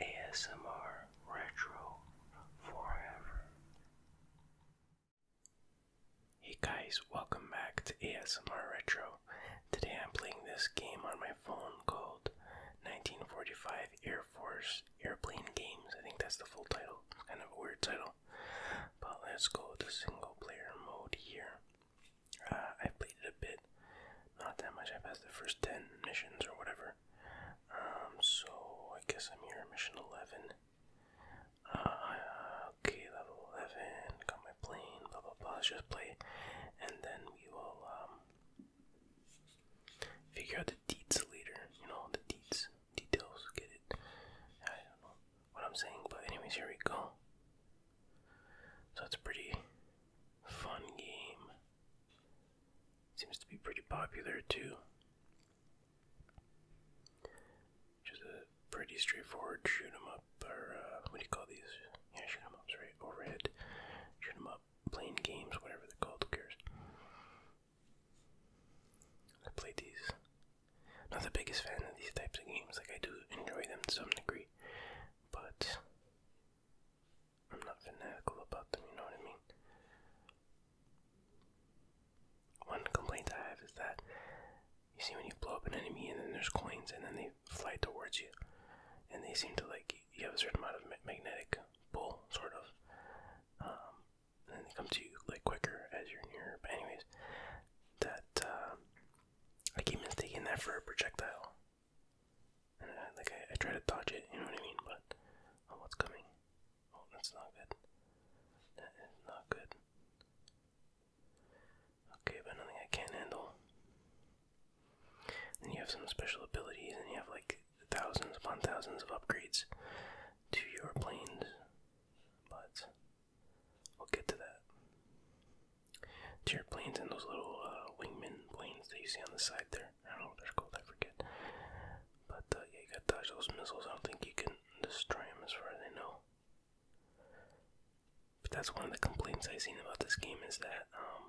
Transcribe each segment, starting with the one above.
ASMR Retro Forever. Hey guys, welcome back to ASMR Retro. Today I'm playing this game on my phone called 1945 Air Force Airplane Games. I think that's the full title. Kind of a weird title. But let's go to single player mode here. Uh, I played it a bit not that much. I passed the first 10 missions or whatever. Um, so I guess I'm here mission 11. Uh, okay, level 11. Got my plane, blah blah blah. just play. And then we will um, figure out the deets later. You know, the deets. Details. Get it. I don't know what I'm saying, but anyways, here we go. So it's a pretty fun game. Seems to be pretty popular too. Just a pretty straightforward shoot 'em up, or uh, what do you call these? Yeah, shoot 'em ups, right? Overhead, shoot 'em up, playing games, whatever they're called. Who cares? I played these. Not the biggest fan of these types of games. Like I do enjoy them to some degree, but I'm not fanatical about them, you know what I mean? One complaint I have is that you see when you blow up an enemy and then there's coins and then they fly towards you and they seem to like you have a certain amount of magnetic pull sort of um, and then they come to you like quicker as you're near but anyways that uh, I keep mistaking that for a projectile I, like I, try to dodge it, you know what I mean? But oh, what's coming? Oh, that's not good. That is not good. Okay, but nothing I can't handle. Then you have some special abilities, and you have like thousands upon thousands of upgrades to your planes. But we'll get to that. To your planes and those little uh, wingman planes that you see on the side there. I don't know what they're I forget. But uh, yeah, you got dodge those missiles. I don't think you can destroy them as far as I know. But that's one of the complaints I've seen about this game is that um,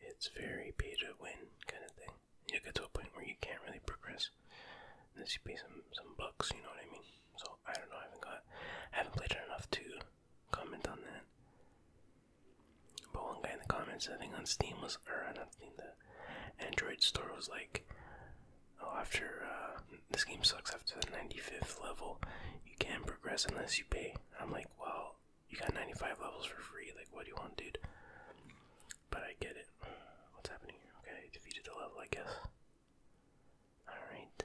it's very pay to win kind of thing. You get to a point where you can't really progress unless you pay some some bucks. You know what I mean? So I don't know. I haven't got, I haven't played it enough to comment on that. But one guy in the comments, I think on Steam was, or I do not think the Android store was like, oh, after uh, this game sucks, after the 95th level, you can't progress unless you pay. I'm like, well, you got 95 levels for free. Like, what do you want, dude? But I get it. What's happening here? Okay, defeated the level, I guess. Alright.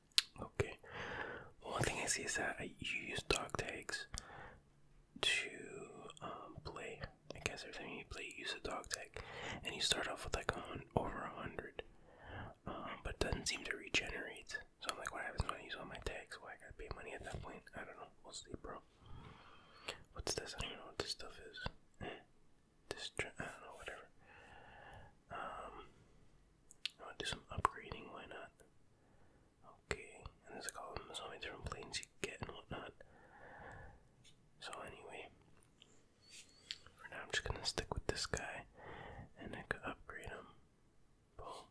Okay. One thing I see is that you use dog tags to um, play. I guess every time you play, you use a dog tag, and you start off with like on over a hundred, um, but doesn't seem to regenerate. So I'm like, what happens when I use all my tags? Why I gotta pay money at that point? I don't know. We'll see, bro. What's this? I don't know what this stuff is. Eh, this I don't know. Whatever. Um. I want to do some upgrading, why not? Okay, and there's like all there's so many different planes you get and whatnot. So anyway, for now I'm just gonna stick with this guy, and I could upgrade him. Boom,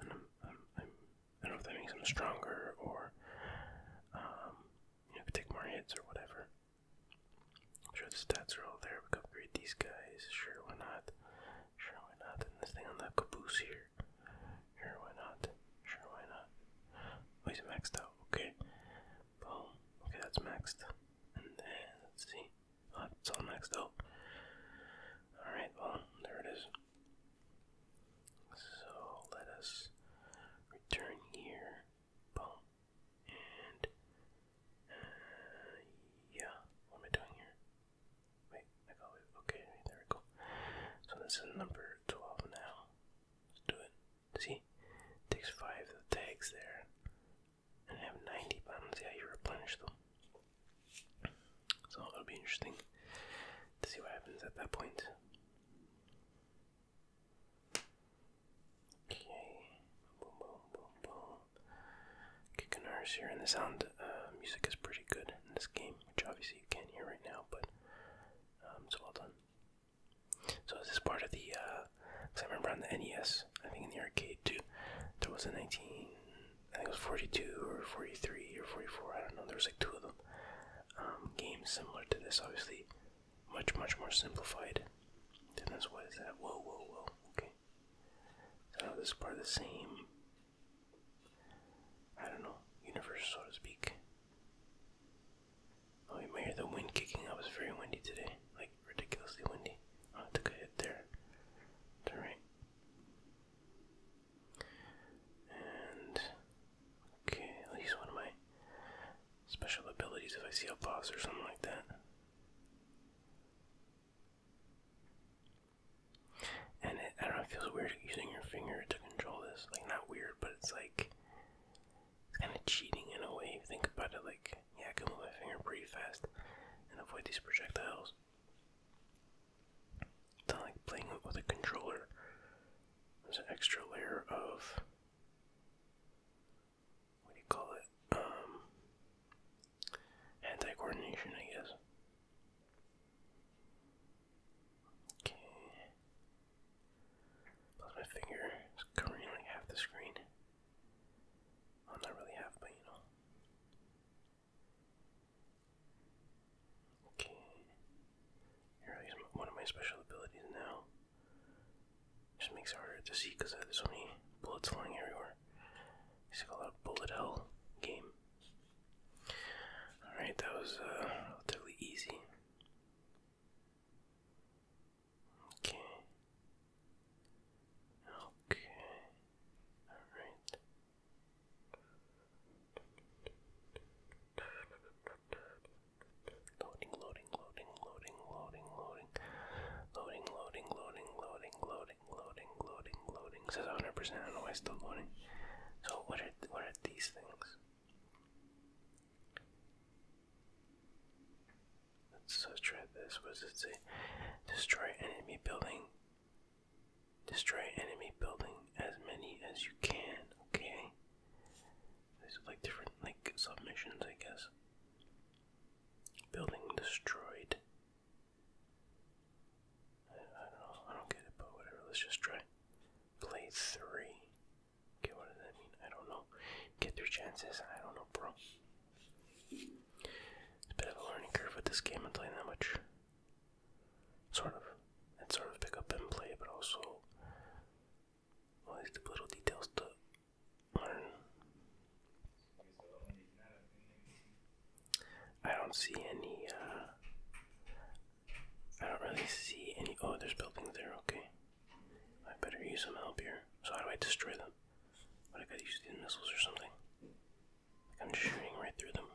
and I'm, I'm, I'm I am i am i do not know if that makes him stronger or um, you know, take more hits or whatever. I'm sure the stats are all there. We can upgrade these guys. Sure, why not? Sure, why not? And this thing on the caboose here. Sure, why not? Sure, why not? Oh, he's maxed out. Okay. Boom. Okay, that's maxed. And then, let's see. Oh, it's all maxed out. Alright, well, there it is. So, let us return here. Boom. And uh, yeah, what am I doing here? Wait, I got it. Okay, there we go. So this is number 12 now. Let's do it. See? takes five the tags there. And I have 90 buttons. Yeah, you replenish them. So it'll be interesting to see what happens at that point. Okay. Boom, boom, boom, boom kick ours here, and the sound uh, music is pretty good in this game, which obviously you can't hear right now, but um, it's well done. So this is part of the, uh, I remember on the NES, I think in the arcade too, there was a 19, I think it was 42 or 43 or 44, I don't know, there was like two of them, um, games similar to this, obviously, much, much more simplified than this, what is that, uh, whoa, whoa, whoa, okay, so uh, this is part of the same, I don't know, universe, so to speak. Oh, you might hear the wind kicking. I was very windy today, like ridiculously windy. I took a hit there. alright. And okay, I'll one of my special abilities if I see a boss or something like that. And it, I don't know, it feels weird using your finger to control this. Like, not weird, but it's like, it's kind of cheating in a way. think about it, like, yeah, I can move my finger pretty fast and avoid these projectiles. It's like playing with a controller. There's an extra layer of what do you call it? Um, anti-coordination, I guess. Okay. Plus my finger is covering like half the screen. Well, not really half, but you know. Okay. Here I use one of my special abilities now. Just makes harder to see because I so many bullets flying everywhere. It's he's called a bullet hell game. Alright, that was uh, relatively easy. Okay. Okay. Alright. loading, loading, loading, loading, loading, loading, loading, loading, loading, loading, loading, loading, loading, loading. Says 100%. I do know why still loading. So what are what are these things? Let's, try this. What it say? Destroy enemy building. Destroy enemy building as many as you can. Okay. These are like different like submissions, I guess. Building destroyed. I, don't know. I don't get it, but whatever. Let's just try. Play three. Okay, what does that mean? I don't know. Get their chances. and I don't know, bro. It's a bit of a learning curve with this game. I'm playing that much. Sort of. And sort of pick up and play, but also all these little details to I don't see any, uh, I don't really see any, oh, there's buildings there, okay. I better use some help here. So how do I destroy them? What, I gotta use these missiles or something? I'm shooting right through them.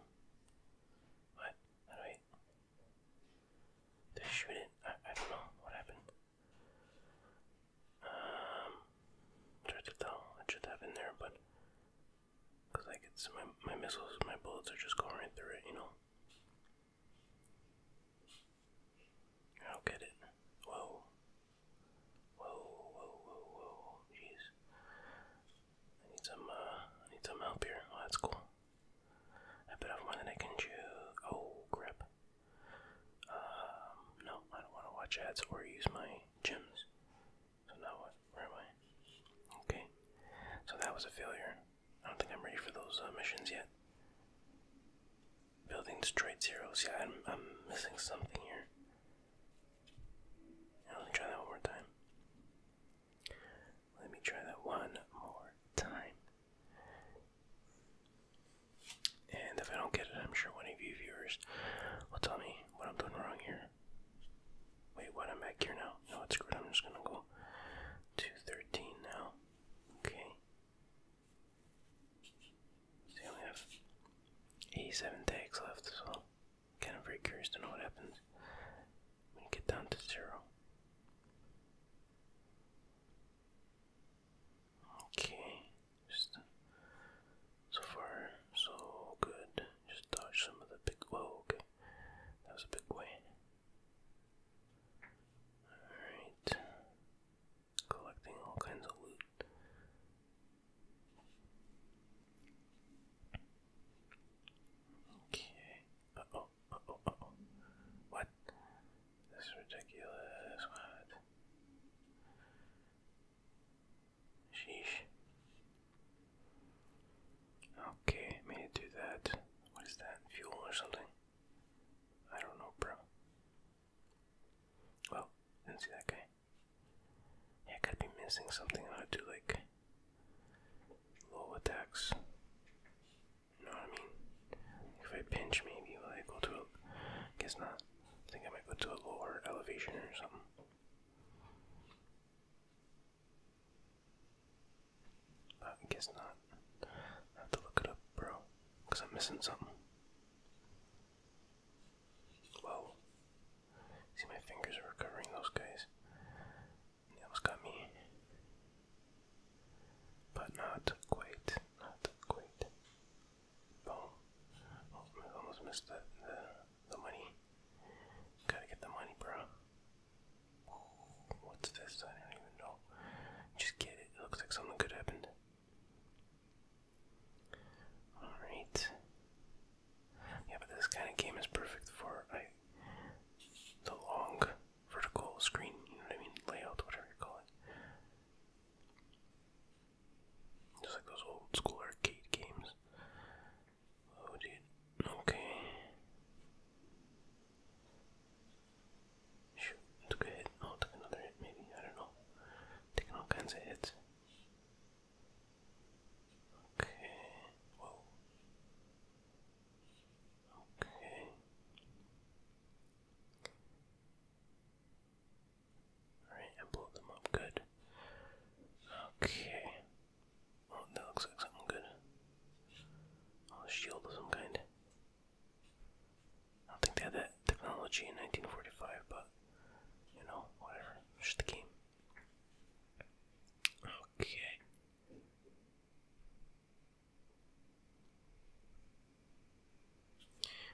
What? How do I, did shoot it? I, I don't know what happened. Um, try to tell. It should have there, but because I get my my missiles, my bullets are just going right through it, you know. I do get it. Whoa. Whoa, whoa, whoa, whoa. Jeez. I need some uh I need some help here. Oh that's cool. I bet I've one that I can choose oh crap. Um no, I don't wanna watch ads or use my gems. So now what? Where am I? Okay. So that was a failure. I don't think I'm ready for those uh, missions yet. Building destroyed zeros. Yeah, I'm, I'm missing something here. let me try that one more time. Let me try that one more time. And if I don't get it, I'm sure one of you viewers will tell me what I'm doing wrong here. Wait, what? I'm back here now. No, it's good. I'm just gonna go to 13 now. Okay. See, I have 87 tags left, so kind of very curious to know what happens when you get down to zero. Okay. Just so far, so good. Just dodge some of the big. Whoa, That was a big win. Alright. Collecting all kinds of loot. Okay. Uh oh, oh, oh. What? This is ridiculous. What? Sheesh. Okay, made it do that. What is that? Fuel or something? I don't know, bro. Well, didn't see that guy. Yeah, I gotta be missing something. I ought to do like low attacks. You know what I mean? If I pinch, maybe will I go to a. Guess not. I think I might go to a lower elevation or something. I guess not. have to look it up, bro, because I'm missing something. Whoa. See, my fingers are recovering those guys. They got me. But not quite. Not quite. Boom. Oh, I almost missed the, the, the money. Gotta get the money, bro. What's this? I don't even know. Just get it. It looks like something good happened. Alright. Yeah, but this kind of game is perfect for the long vertical screen, you know what I mean? Layout, whatever you call it. Just like those old school arcade games. Oh, dude. Okay. took a hit. Oh, took another hit, maybe. I don't know. Taking all kinds of hits. Okay. Whoa. Okay. Alright, and blow them up good. Okay. Oh, that looks like something good. Oh, a shield of some kind. I don't think they had that technology in 1945, but you know, whatever. It's game. Okay.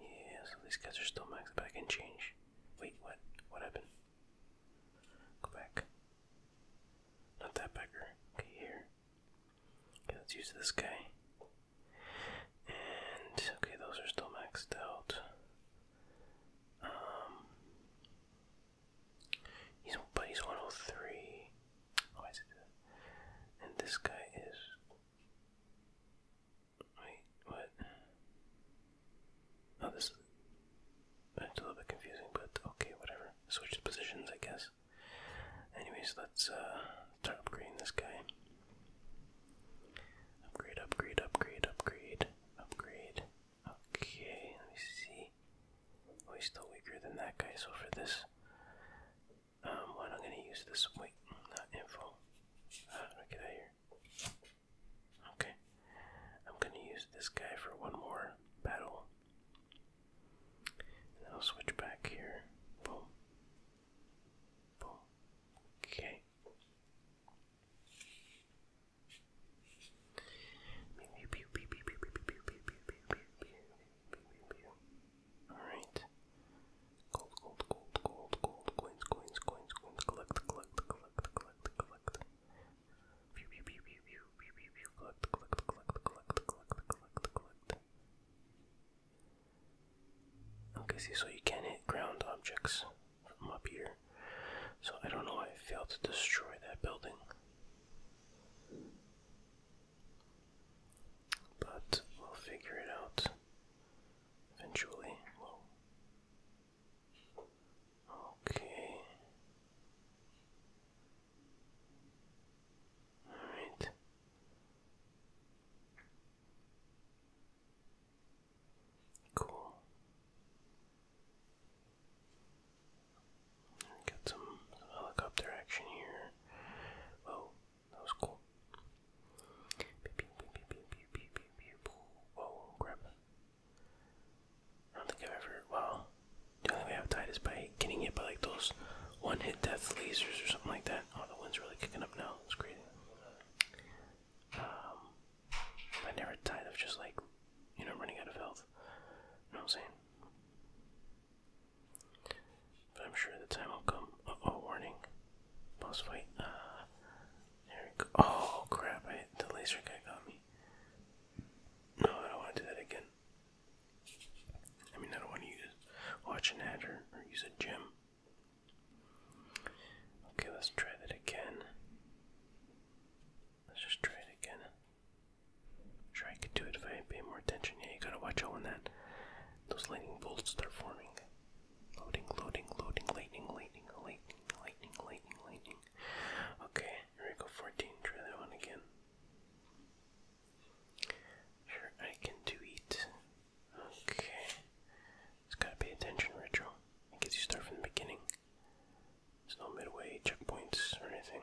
Yeah, so these guys are still maxed, but I can change. Wait, what? What happened? Go back. Not that beggar. Okay, here. Okay, let's use this guy. And okay, those are still maxed out. Um, he's but he's 103. Oh, why is it this? And this guy is. Wait, what? Oh, this. It's a little bit confusing, but okay, whatever. Switch positions, I guess. Anyways, let's uh, start upgrading this guy. Upgrade, upgrade, upgrade, upgrade, upgrade. Okay, let me see. Oh, he's still weaker than that guy, so for this um, what I'm gonna use this wait, info. I get here? Okay. I'm gonna use this guy for one more battle. I'll switch back here. Boom. Boom. Okay. Alright. Gold, gold, gold, gold, gold, coins, coins, coins, coins, collect, collect, collect, collect, collect. Pew, pew, pew, pew, pew, pew, pew, pew, collect, collect, collect, collect, collect, collect, collect. Okay, so you can't hit ground objects from up here. So I don't know why I failed to destroy that building. But we'll figure it out eventually. Okay. Alright. Cool. Got some helicopter action here. Oh, that was cool. Whoa, grab that. I don't think I've ever. Well, the only way have died is by getting hit by like those one hit death lasers or something like that. Oh, the wind's really kicking up now. It's crazy. Um, I never died of just like, you know, running out of health. You know what I'm saying? But I'm sure the time will come. of oh, warning. Boss fight. Ah, there we go. Oh crap, I, the laser guy got me. No, I don't want to do that again. I mean, I don't want to use, watch an ad or, use a gem. Okay, let's try that again. Let's just try it again. sure I could do it if I pay more attention. Yeah, you gotta watch out when that those lightning bolts start forming. Loading, loading, loading, lightning, lightning, lightning, lightning, lightning, lightning. Okay, here we go, 14. Try that one again. Sure, I can do it. Okay. Just gotta pay attention, Retro. I you start from the beginning. There's no midway checkpoints or anything.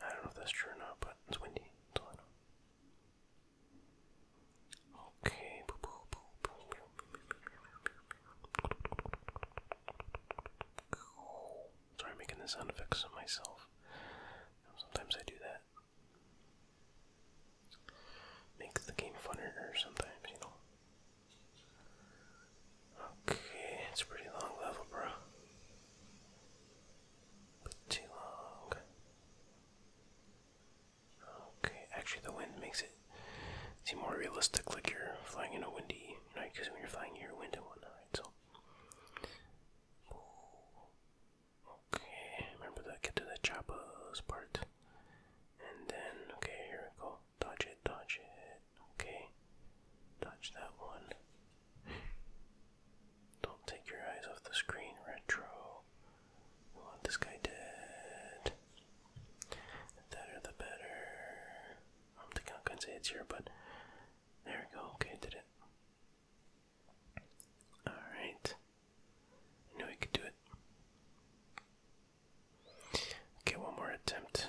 I don't know if that's true or not, but it's windy. That's all know. Okay. Sorry, making the sound effects on myself. Sometimes I do that. Makes the game funner sometimes, you know. Okay, it's a pretty long level, bro. Pretty long. Okay, actually, the wind makes it seem more realistic, like you're flying in a windy night, because when you're flying, you're wind and whatnot. So, okay, remember that. Get to the chopper's part, and then okay, here we go. Dodge it, dodge it. Okay, dodge that one. Don't take your eyes off the screen, Retro. We this guy dead. The better the better. I'm thinking I'm gonna say here, but there we go. Okay, did it. Alright. knew I could do it. Okay, one more attempt.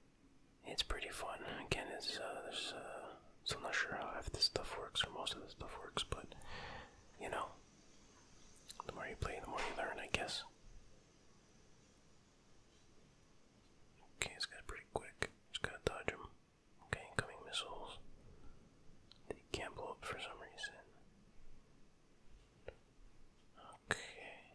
It's pretty fun. Again, it's uh, there's uh, I'm not sure how half this stuff works or most of this stuff works, but you know, the more you play, the more you learn, I guess. Okay, it's got pretty quick. Just gotta dodge him. Okay, incoming missiles. They can't blow up for some reason. Okay.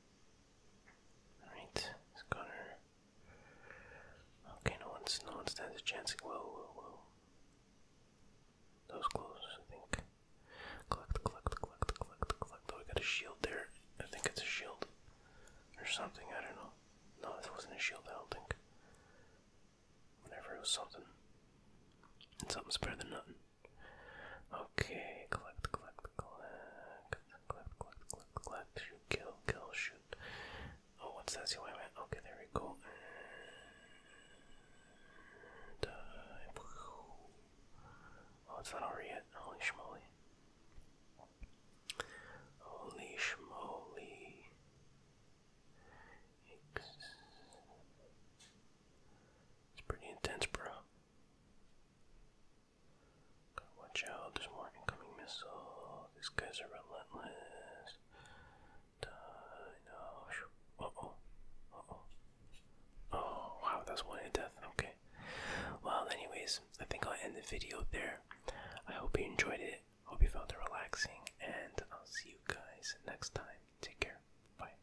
Alright, it's Connor. Okay, no one's no one stands a chance. Whoa, whoa, whoa. Those close, I think. Collect, collect, collect, collect, collect. Oh, we got a shield there. I think it's a shield. Or something, I don't know. No, this wasn't a shield, I don't think. Whatever, it was something. And something's better than nothing. Okay, collect, collect, collect, collect, collect, collect, collect, shoot, kill, kill, shoot. Oh, what's that? See where I went? Okay, there we go. Uh, oh, it's not over yet. Holy schmoly. Holy schmoly. It's pretty intense, bro watch out, there's more incoming missile. These guys are relentless. Die, no. Uh oh. Uh oh. Oh, wow, that's one hit death. Okay. Well, anyways, I think I'll end the video there. I hope you enjoyed it. Hope you found it relaxing, and I'll see you guys next time. Take care. Bye.